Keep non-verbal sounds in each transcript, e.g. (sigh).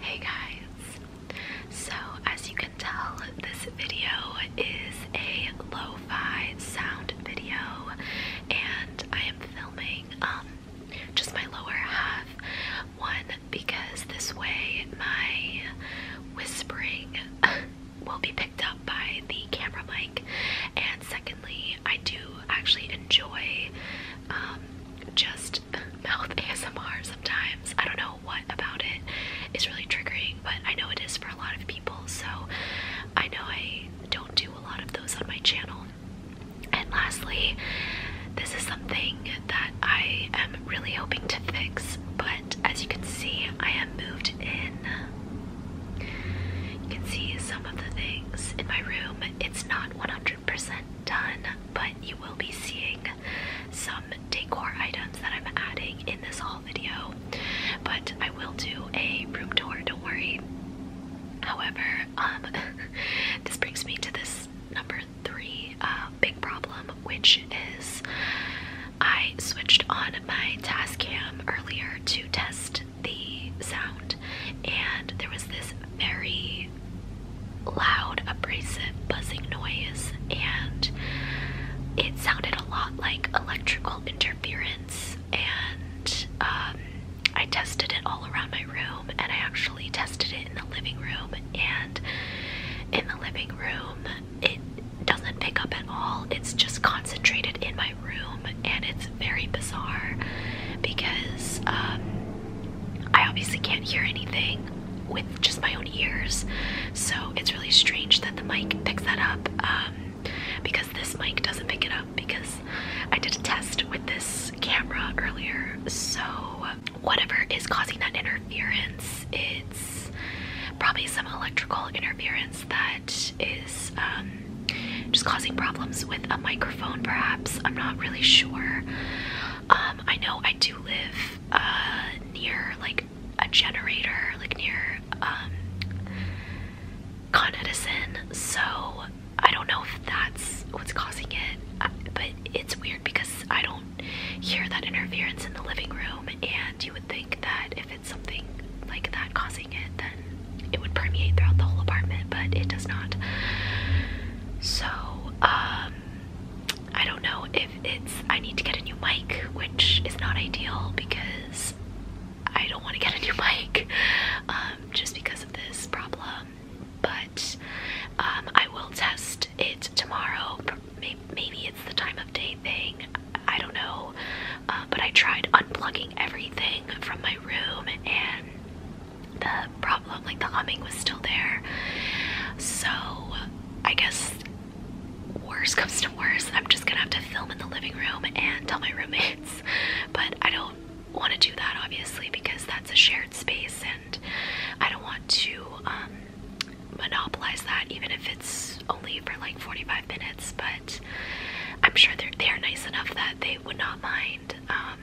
Hey guys! So, as you can tell, this video is a lo fi sound video, and I am filming um, just my lower half. One, because this way my whispering (laughs) will be picked up by the camera mic, and second, I do actually enjoy um, just (laughs) mouth ASMR sometimes. I don't know what about it is really triggering, but I know it is for a lot of people. So I know I don't do a lot of those on my channel. And lastly, this is something that I am really hoping to fix, but as you can see, I am moved in. You can see some of the things in my room. It's not 100% 100 done, but you will be seeing some decor items that I'm adding in this haul video. But I will do a room tour, don't worry. However, um, (laughs) this brings me to this number three uh, big problem, which is I switched on my task cam earlier to test the sound, and there was this very loud, abrasive buzzing noise, and it sounded a lot like electrical interference. And um, I tested it all around my room, and I actually tested it in the living room. And in the living room, it doesn't pick up at all, it's just concentrated in my room, and it's very bizarre because um, I obviously can't hear anything with just my own ears, so it's really strange that the mic picks that up um, because this mic doesn't pick it up because I did a test with this camera earlier, so whatever is causing that interference, it's probably some electrical interference that is um, just causing problems with a mic Phone, perhaps. I'm not really sure. Um, I know I do live uh, near like a generator, like near um, Con Edison, so I don't know if that's what's causing it. but it's weird because I don't hear that interference in the living room, and you would think that if it's something like that causing it, then it would permeate throughout the whole apartment, but it does not. So, um, I don't know if it's. I need to get a new mic, which is not ideal because I don't want to get a new (laughs) mic um, just because of this problem. But um, I will test it tomorrow. Maybe it's the time of day thing. I don't know. Uh, but I tried unplugging everything from my room and the problem, like the humming was still there. So I guess worse comes to worse, I'm just gonna have to film in the living room and tell my roommates. (laughs) But I don't want to do that obviously because that's a shared space and I don't want to um, monopolize that even if it's only for like 45 minutes. But I'm sure they're nice enough that they would not mind. Um,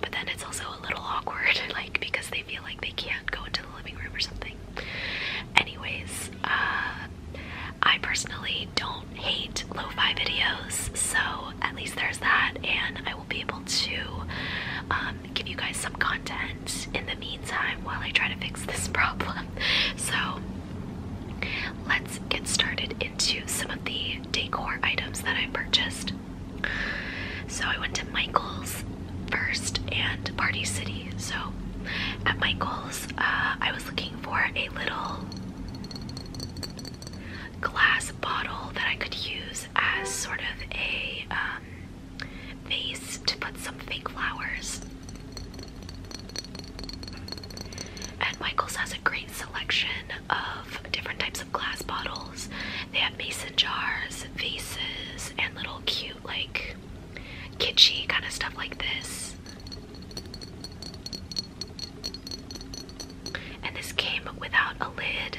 but then it's also a little awkward, (laughs) like because they feel like they can't go into the living room or something. Anyways, uh, I personally don't hate lo-fi videos, so at least there's that, and I will be able to um, give you guys some content in the meantime while I try to fix this (laughs) problem. So let's get started to some of the decor items that I purchased. So I went to Michael's first and Party City. So at Michael's, uh, I was looking for a little glass bottle that I could use as sort of a um, vase to put some fake flowers. And Michael's has a great selection of different types of glass bottles. They have mason jars, vases, and little cute, like kitschy kind of stuff like this. And this came without a lid,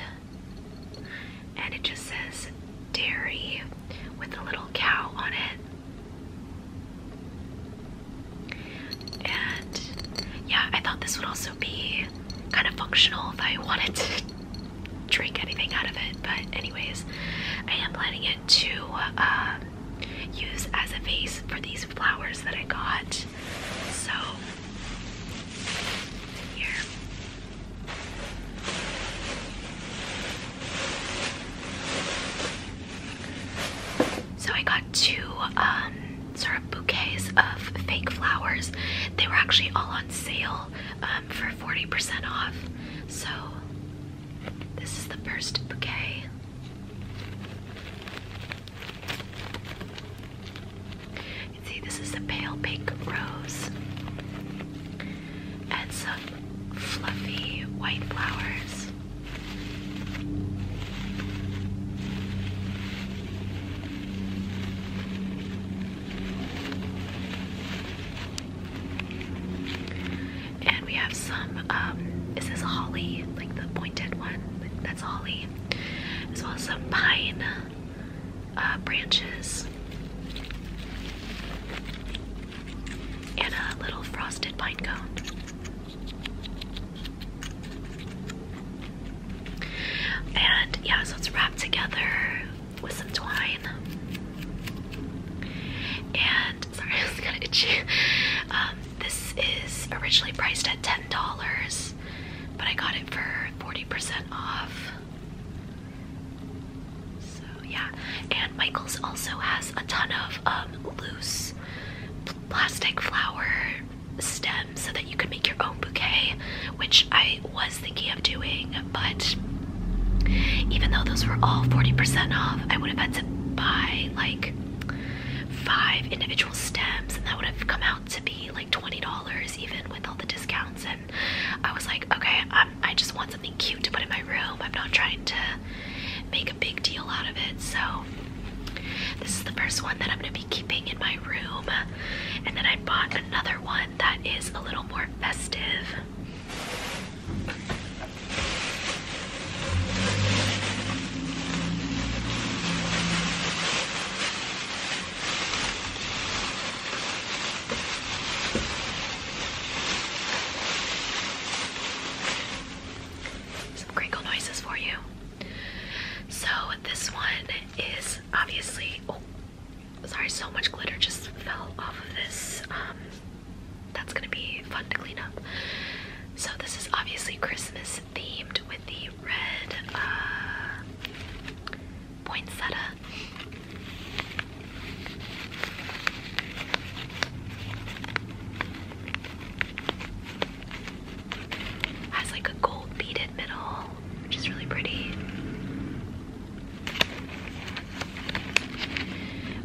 and it just says dairy with a little cow on it. And yeah, I thought this would also be kind of functional if I (laughs) wanted to drink anything out of it. But, anyways, I am planning it to uh, use as a vase for these flowers that I got. So, here. So I got two um, syrup bouquets of fake flowers. They were actually all on sale um, for 40% off. So this is the first bouquet. see this is a pale pink rose and some fluffy white flowers. And we have some, um, is this holly? Like the pointed one? That's holly. As well as some pine uh, branches. And a little frosted pine cone. And yeah, so it's wrapped together with some twine. And sorry, (laughs) I was gonna itchy. you. Um, this is originally priced at $10, but I got it for 40% off. So yeah, and Michaels also has a ton of um, loose plastic flower stems so that you can make your own bouquet, which I was thinking of doing, but even though those were all 40% off, I would have had to buy like five individual stems, and that would have come out to be like $20 even with all the discounts. And I was like, okay, I just want something cute to put in my room. I'm not trying to make a big deal out of it. So this is the first one that I'm going to be keeping in my room. And then I bought another one that is a little more festive. Some crinkle noises for you. So this one is obviously oh, sorry so much glitter just fell off of this um, that's gonna be fun to clean up. So this is obviously Christmas themed with the red uh, poinsettia. Has like a gold beaded middle, which is really pretty.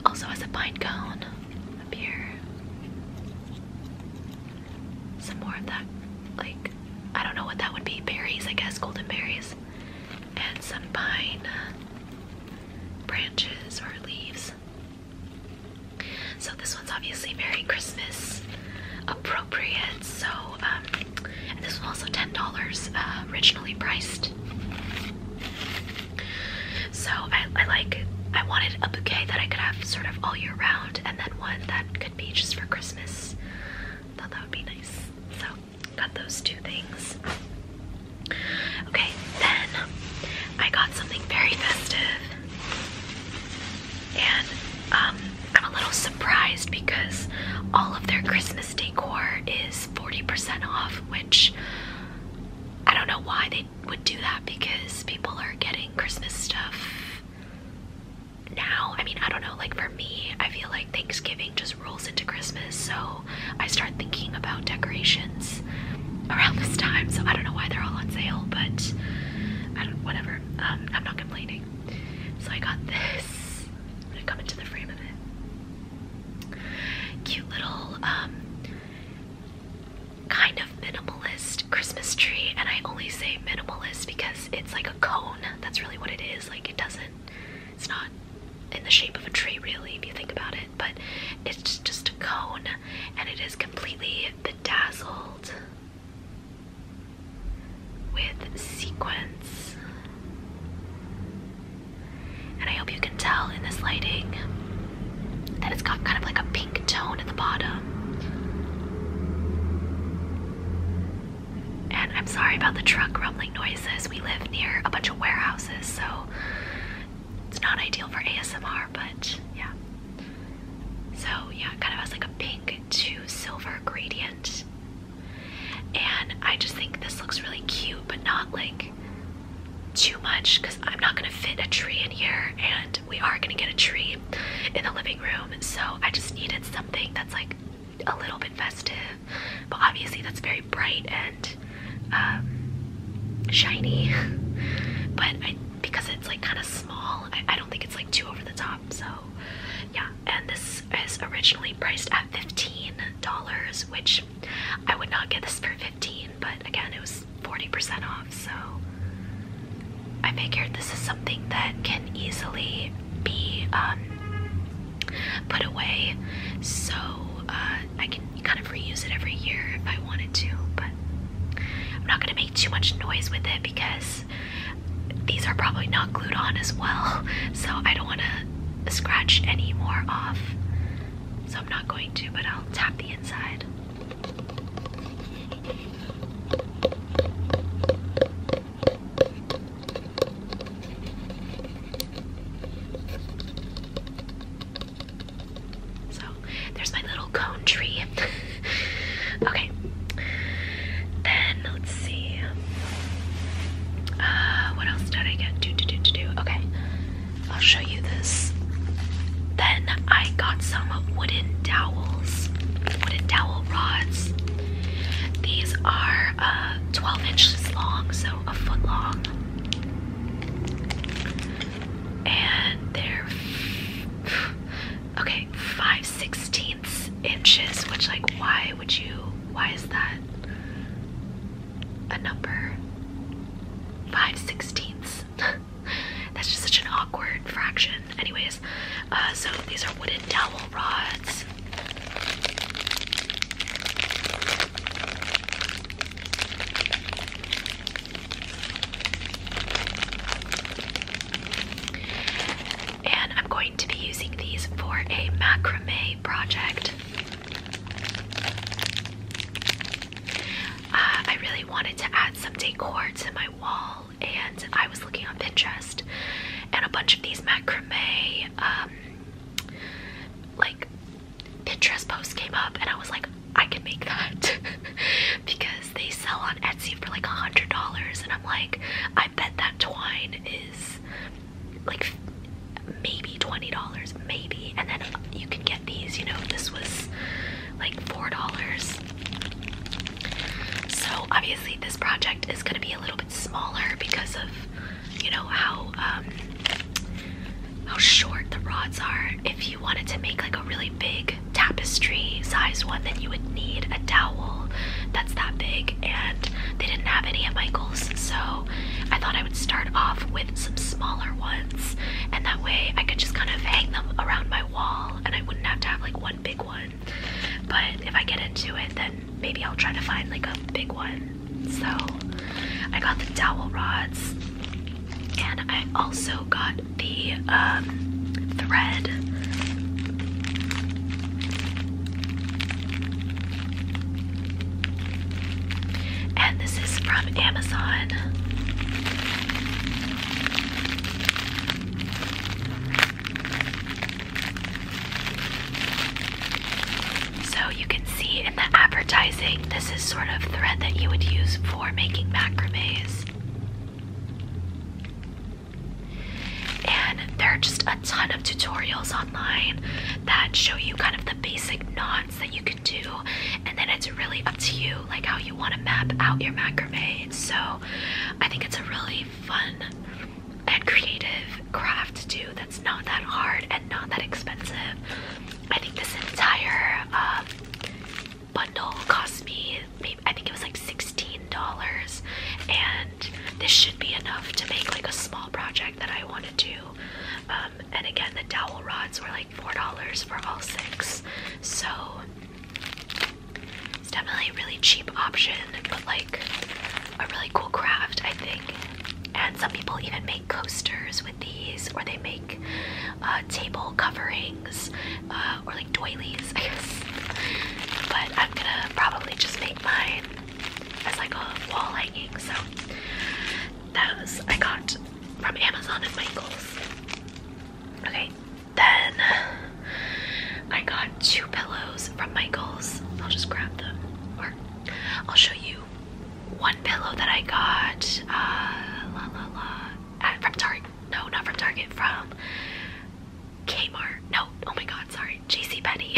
Also has a pine cone up here. Some more of that, like, I don't know what that would be. Berries, I guess, golden berries. And some pine branches or leaves. So this one's obviously very Christmas appropriate. So um, this was also ten dollars uh, originally priced. So I, I like I wanted a bouquet that I could have sort of all year round, and then one that could be just for Christmas. Thought that would be nice. So got those two things. Okay, then I got something very festive. And um, I'm a little surprised because all of their Christmas decor is 40% off, which I don't know why they would do that because people are getting Christmas stuff now. I mean, I don't know, like for me, I feel like Thanksgiving just rolls into Christmas, so I start thinking about decorations around this time, so I don't know why they're all on sale, but I don't, whatever. Um, I'm not complaining. So I got (laughs) this. I'm gonna come into the frame of it. Cute little um, kind of minimalist Christmas tree, and I only say minimalist because it's like a cone. That's really what it is. Like it doesn't. It's not in the shape of a tree, really, if you think about it. But it's just a cone, and it is completely bedazzled with sequins. And I hope you can tell in this lighting that it's got kind of like a pink tone at the bottom. And I'm sorry about the truck rumbling noises. We live near a bunch of warehouses, so it's not ideal for ASMR, but yeah. So yeah, it kind of has like a pink to silver gradient. And I just think this looks really cute, but not like too much because I'm not gonna fit a tree in here and we are gonna get a tree in the living room. So I just needed something that's like a little bit festive, but obviously that's very bright and um, shiny. (laughs) but I because it's like kind of small, I, don't think it's like too over the top. So, yeah. And this is originally priced at $15, which I would not get this for 15 but again, it was 40% off. So, I figured this is something that can easily be um, put away so uh, I can kind of reuse it every year if I wanted to, but I'm not going to make too much noise with it because these are probably not glued on as well, so I don't want to scratch any more off. So I'm not going to, but I'll tap the inside. So there's my little cone tree. (laughs) okay. Then let's see. Uh, what else did I get? Do do do do Okay, I'll show you this. Then I got some wooden dowels, wooden dowel rods. These are uh, 12 inches long, so a foot long. And they're okay, five sixteenths inches, which like why would you why is that a number? Five sixteenths. (laughs) That's just such an awkward fraction. Anyways, uh, so these are wooden dowel rods. And I'm going to be using these for a macrame project. Uh, I really wanted to add some decor to my wall, and I was looking on Pinterest, and a bunch of these macrame, um, like Pinterest posts came up, and I was like, I can make that (laughs) because they sell on Etsy for like a hundred dollars, and I'm like, I bet that twine is like maybe twenty dollars, maybe, and then you can get these. You know, this was like four dollars. So obviously, this project is going to be a little bit smaller because of you know how um, how short the rods are. If you wanted to make like a really big tapestry size one, then you would need a dowel that's that big. And they didn't have any at Michael's, so I thought I would start off with some smaller ones, and that way I could just kind of hang them around my wall and I wouldn't have to have like one big one. But if I get into it, then maybe I'll try to find like a big one. So I got the dowel rods. And I also got the um, thread. And this is from Amazon. So you can see in the advertising, this is sort of thread that you would use for making macramé. And there are just a ton of tutorials online that show you kind of the basic knots that you can do, and then it's really up to you, like how you want to map out your macrame. So I think it's a really fun and creative craft to do that's not that hard and not that expensive. I think this entire uh, bundle cost me I think it was like $16 and this should be enough to make like a small project that I want to do. Um, and again the dowel rods were like $4 for all six. So it's definitely a really cheap option, but like a really cool craft, I think. And some people even make coasters with these, or they make uh, table coverings uh, or like doilies, I guess. But I'm gonna probably just make mine as like a wall hanging. So that was I got from Amazon and Michaels. Okay, then I got two pillows from Michaels. I'll just grab them, or I'll show you one pillow that I got. Uh, uh, from Target. No, not from Target. From Kmart. No. Oh my God. Sorry. JC Penney.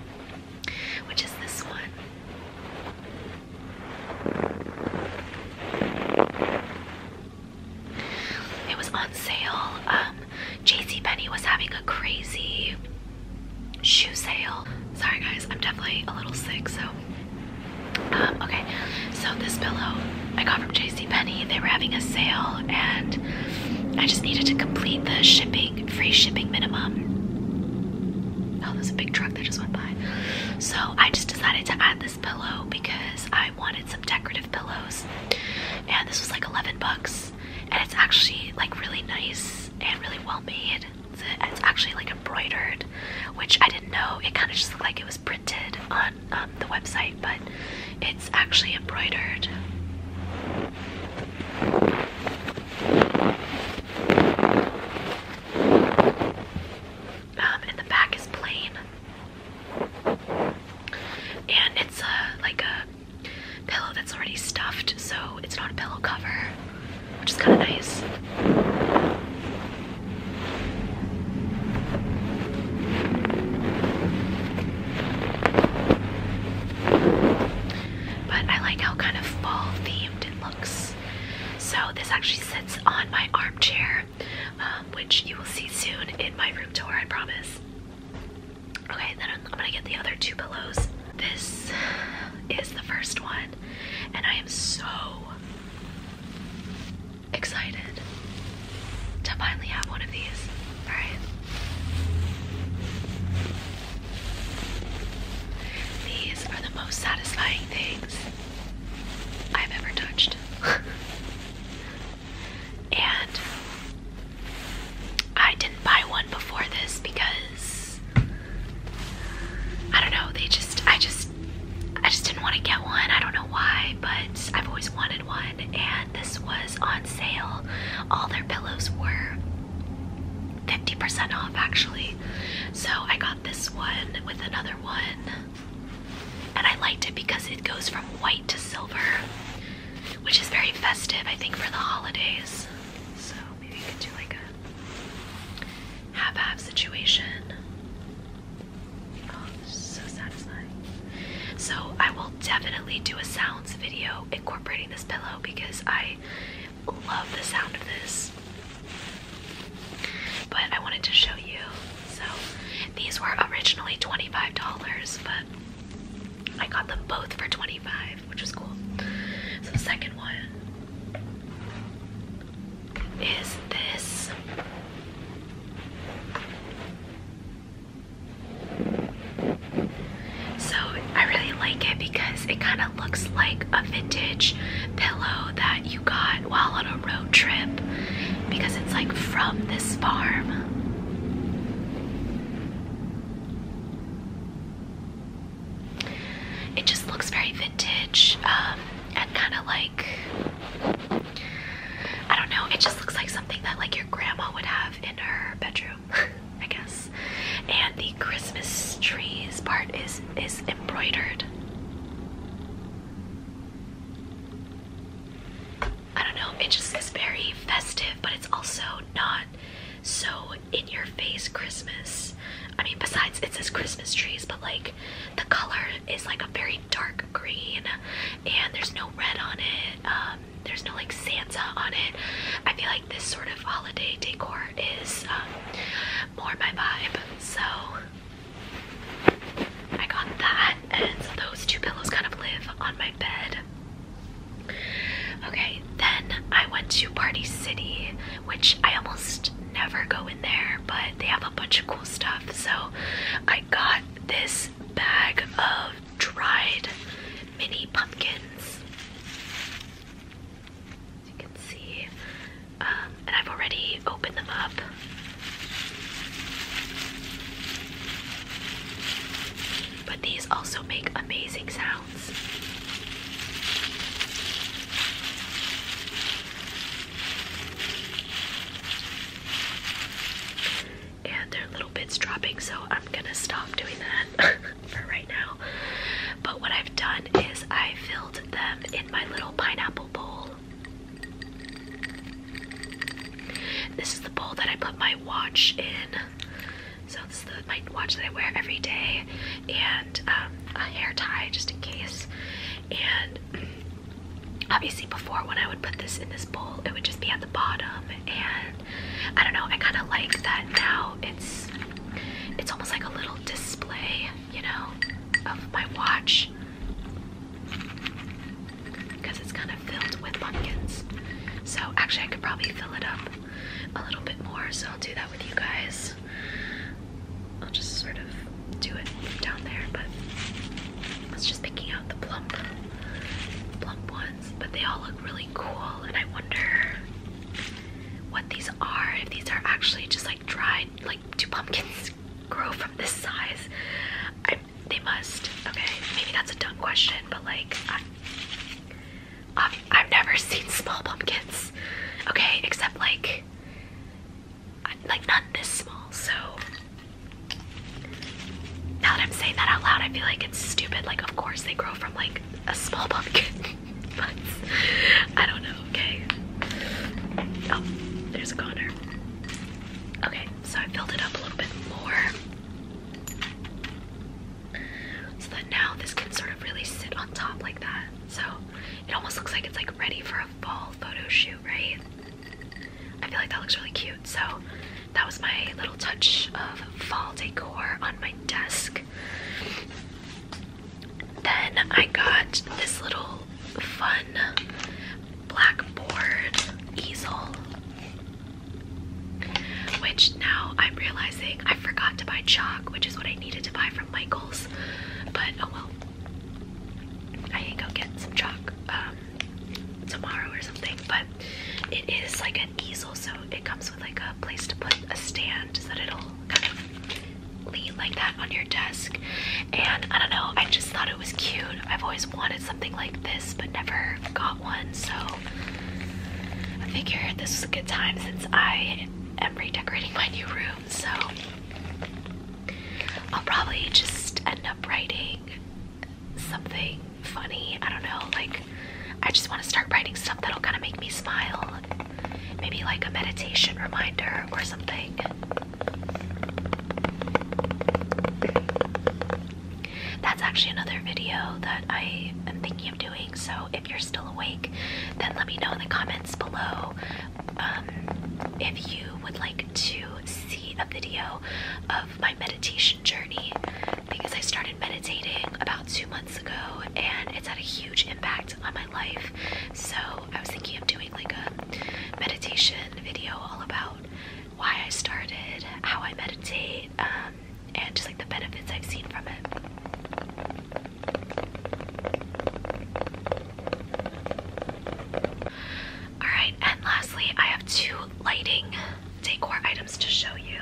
(laughs) Which is this one. It was on sale. JC um, Penney was having a crazy shoe sale. Sorry guys, I'm definitely a little sick, so uh, okay, so this pillow I got from J.C. Penney. They were having a sale, and I just needed to complete the shipping, free shipping minimum. Oh, there's a big truck that just went by. So I just decided to add this pillow because I wanted some decorative pillows, and this was like 11 bucks. And it's actually like really nice and really well made. it's actually like embroidered, which I didn't know. It kind of just looked like it was printed on um, the website, but it's actually embroidered. Um, and the back is plain, and it's like a pillow that's already stuffed, so it's not a pillow cover, which is kind of nice. But I like how kind of fall themed it looks. So this actually sits on my armchair, um, which you will see soon in my room tour, I promise. Okay, then I'm gonna get the other two pillows. This is the first one, and I am so excited to finally have one of these. Alright? These are the most satisfying things I've ever touched. (laughs) and I didn't buy one before this because I don't know, they just, I just I just didn't want to get one. I don't know why, but I've always wanted one and this was on sale. All their pillows were 50% off actually. So I got this one with another one. And I liked it because it goes from white to silver, which is very festive, I think, for the holidays. So maybe you could do like a half half situation. Oh, so I will definitely do a sounds video incorporating this pillow because I love the sound of this. But I wanted to show you. So these were originally $25, but I got them both for 25, which was cool. So second one is this. So I really like it because it kind of looks like a vintage pillow that you got while on a road trip because it's like from this farm. It just looks very vintage um, and kind of like I don't know, it just looks like something that like your grandma would have in her bedroom, (laughs) I guess. And the Christmas trees part is is embroidered. I don't know, it just is very festive, but it's also not so in your face Christmas. I mean, besides it says Christmas trees, but like the colors is like a very dark green and there's no red on it. Um, there's no like Santa on it. I feel like this sort of holiday decor is um, more my vibe. So I got that and those two pillows kind of live on my bed. Okay, then I went to Party City, which I almost never go in there but they have a bunch of cool stuff. So I got this bag of dried mini pumpkins. As you can see, um, and I've already opened them up. But these also make amazing sounds. And there are little bits dropping, so I'm gonna stop doing that (laughs) for right now. But what I've done is I filled them in my little pineapple bowl. This is the bowl that I put my watch in. So this is the, my watch that I wear every day, and um, a hair tie just in case. And obviously before when I would put this in this bowl it would just be at the bottom and I don't know I kind of like that now it's it's almost like a little display you know of my watch because it's kind of filled with pumpkins so actually I could probably fill it up a little bit more so I'll do that with you guys I'll just sort of do it down there, but I was just picking out the plump, plump ones, but they all look really cool, and I wonder what these are, if these are actually just like dried, like do pumpkins (laughs) grow from this size? I, they must, okay, maybe that's a dumb question, but like, I, I've never seen (laughs) small pumpkins, okay, except like like not this small. So now that I'm saying that out loud, I feel like it's stupid. Like of course they grow from like a small pumpkin, (laughs) but I don't know. Okay. Oh, there's a goner. Okay, so I filled it up a little bit more so that now this can sort of really sit on top like that. So it almost looks like it's like ready for a fall photo shoot, right? I feel like that looks really cute. So that was my little touch of fall decor on my desk. Then I got this little fun blackboard easel, which now I'm realizing I forgot to buy chalk, which is what I needed to buy from Michaels. But oh well, I can go get some chalk um, tomorrow or something, but it is like an easel, so it comes with like a place to put a stand so that it'll kind of lean like that on your desk. And I don't know, I just thought it was cute. I've always wanted something like this, but never got one, so I figured this was a good time since I am redecorating my new room, so I'll probably just end up writing something funny. I don't know, like, I just want to start writing stuff that'll kind of make me smile. Maybe like a meditation reminder or something. That's actually another video that I am thinking of doing. So if you're still awake, then let me know in the comments below um, if you would like to see a video of my meditation journey because I started meditating about two months ago and it's had a huge impact on my life. So I was thinking of doing like a meditation video all about why I started, how I meditate, um, and just like the benefits I've seen from it. Alright, and lastly, I have two lighting decor items to show you.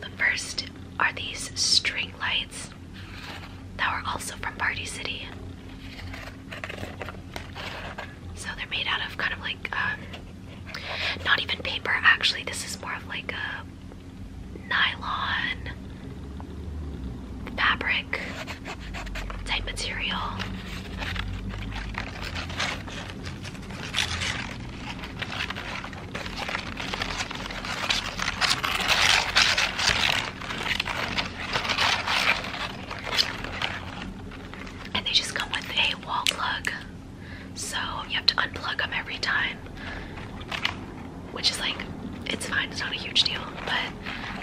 the first are these string lights that were also from Party City. So they're made out of kind of like, um, not even paper actually, this is more of like a nylon fabric type material. And they just come with a wall plug, so you have to unplug them every time, which is like, it's fine, it's not a huge deal, but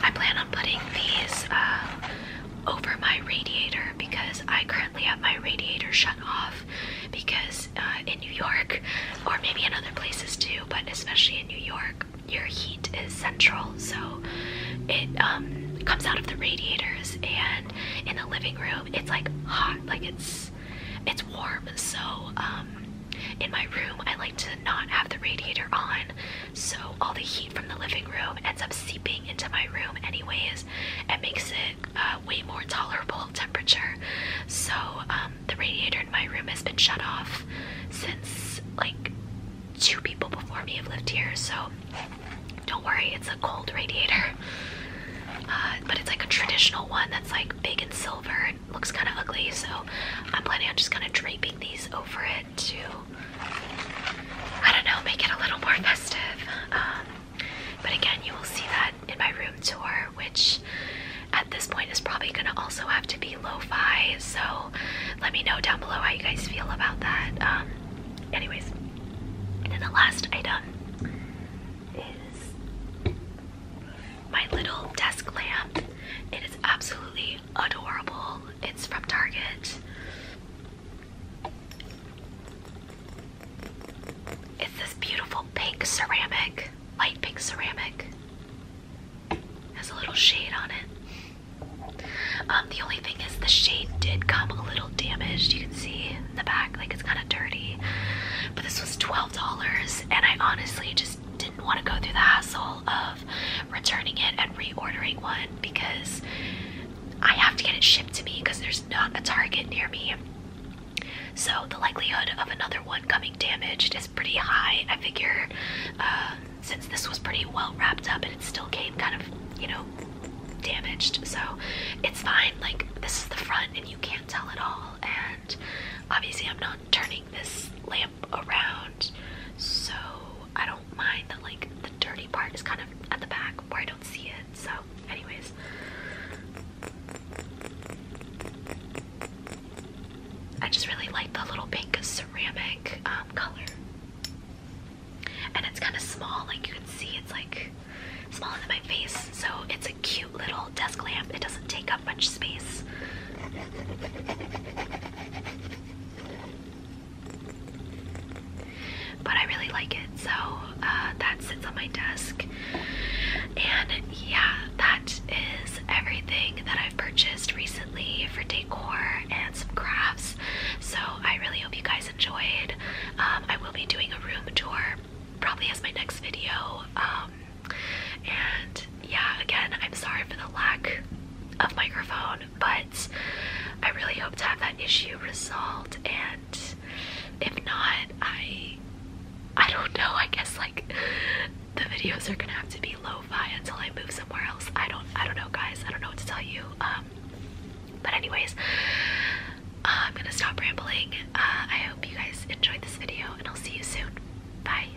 I plan on plan on putting these uh, over my radiator because I currently have my radiator shut off because uh, in New York, or maybe in other places too, but especially in New York, your heat is central, so it um, comes out of the radiators. And in the living room, it's like hot, like it's it's warm. So um, in my room, I like to not have the radiator on so all the heat from the living room ends up seeping into my room anyways and makes it uh, way more tolerable temperature so um, the radiator in my room has been shut off since like two people before me have lived here so don't worry it's a cold radiator uh, but it's like a traditional one that's like big and silver looks kind of ugly, so I'm planning on just kind of draping these over it to, I don't know, make it a little more festive. Um, but again, you will see that in my room tour, which at this point is probably going to also have to be lo-fi. So let me know down below how you guys feel about that. Um, anyways, and then the last item is my little desk lamp. It is absolutely adorable. It's from Target. It's this beautiful pink ceramic, light pink ceramic. Has a little shade on it. Um, the only thing is the shade did come a little damaged. You can see in the back, like it's kind of dirty. But this was $12, and I honestly just didn't want to go through the hassle of returning it and reordering one because I have to get it shipped to me because there's not a Target near me. So the likelihood of another one coming damaged is pretty high. I figure uh, since this was pretty well wrapped up and it still came kind of, you know, damaged. So it's fine. Like, this is the front and you can't tell at all. And obviously, I'm not turning this lamp around, so I don't mind that like the dirty part is kind of at the back where I don't see it. So, anyways. I just really like the little pink ceramic um, color. And it's kind of small, like you can see, it's like smaller than my face. So it's a cute little desk lamp. It doesn't take up much space. But I really like it, so uh, that sits on my desk. And yeah, that is everything that I've purchased recently for decor and some crafts. So I really hope you guys enjoyed. Um, I will be doing a room tour probably as my next video. Um, and yeah, again, I'm sorry for the lack of microphone, but I really hope to have that issue resolved. And if not, I I don't know. I guess like the videos are gonna have to be lo-fi until I move somewhere else. I don't I don't know, guys. I don't know what to tell you. Um, but anyways, uh, I'm gonna stop rambling. Uh, I hope you guys enjoyed this video, and I'll see you soon. Bye.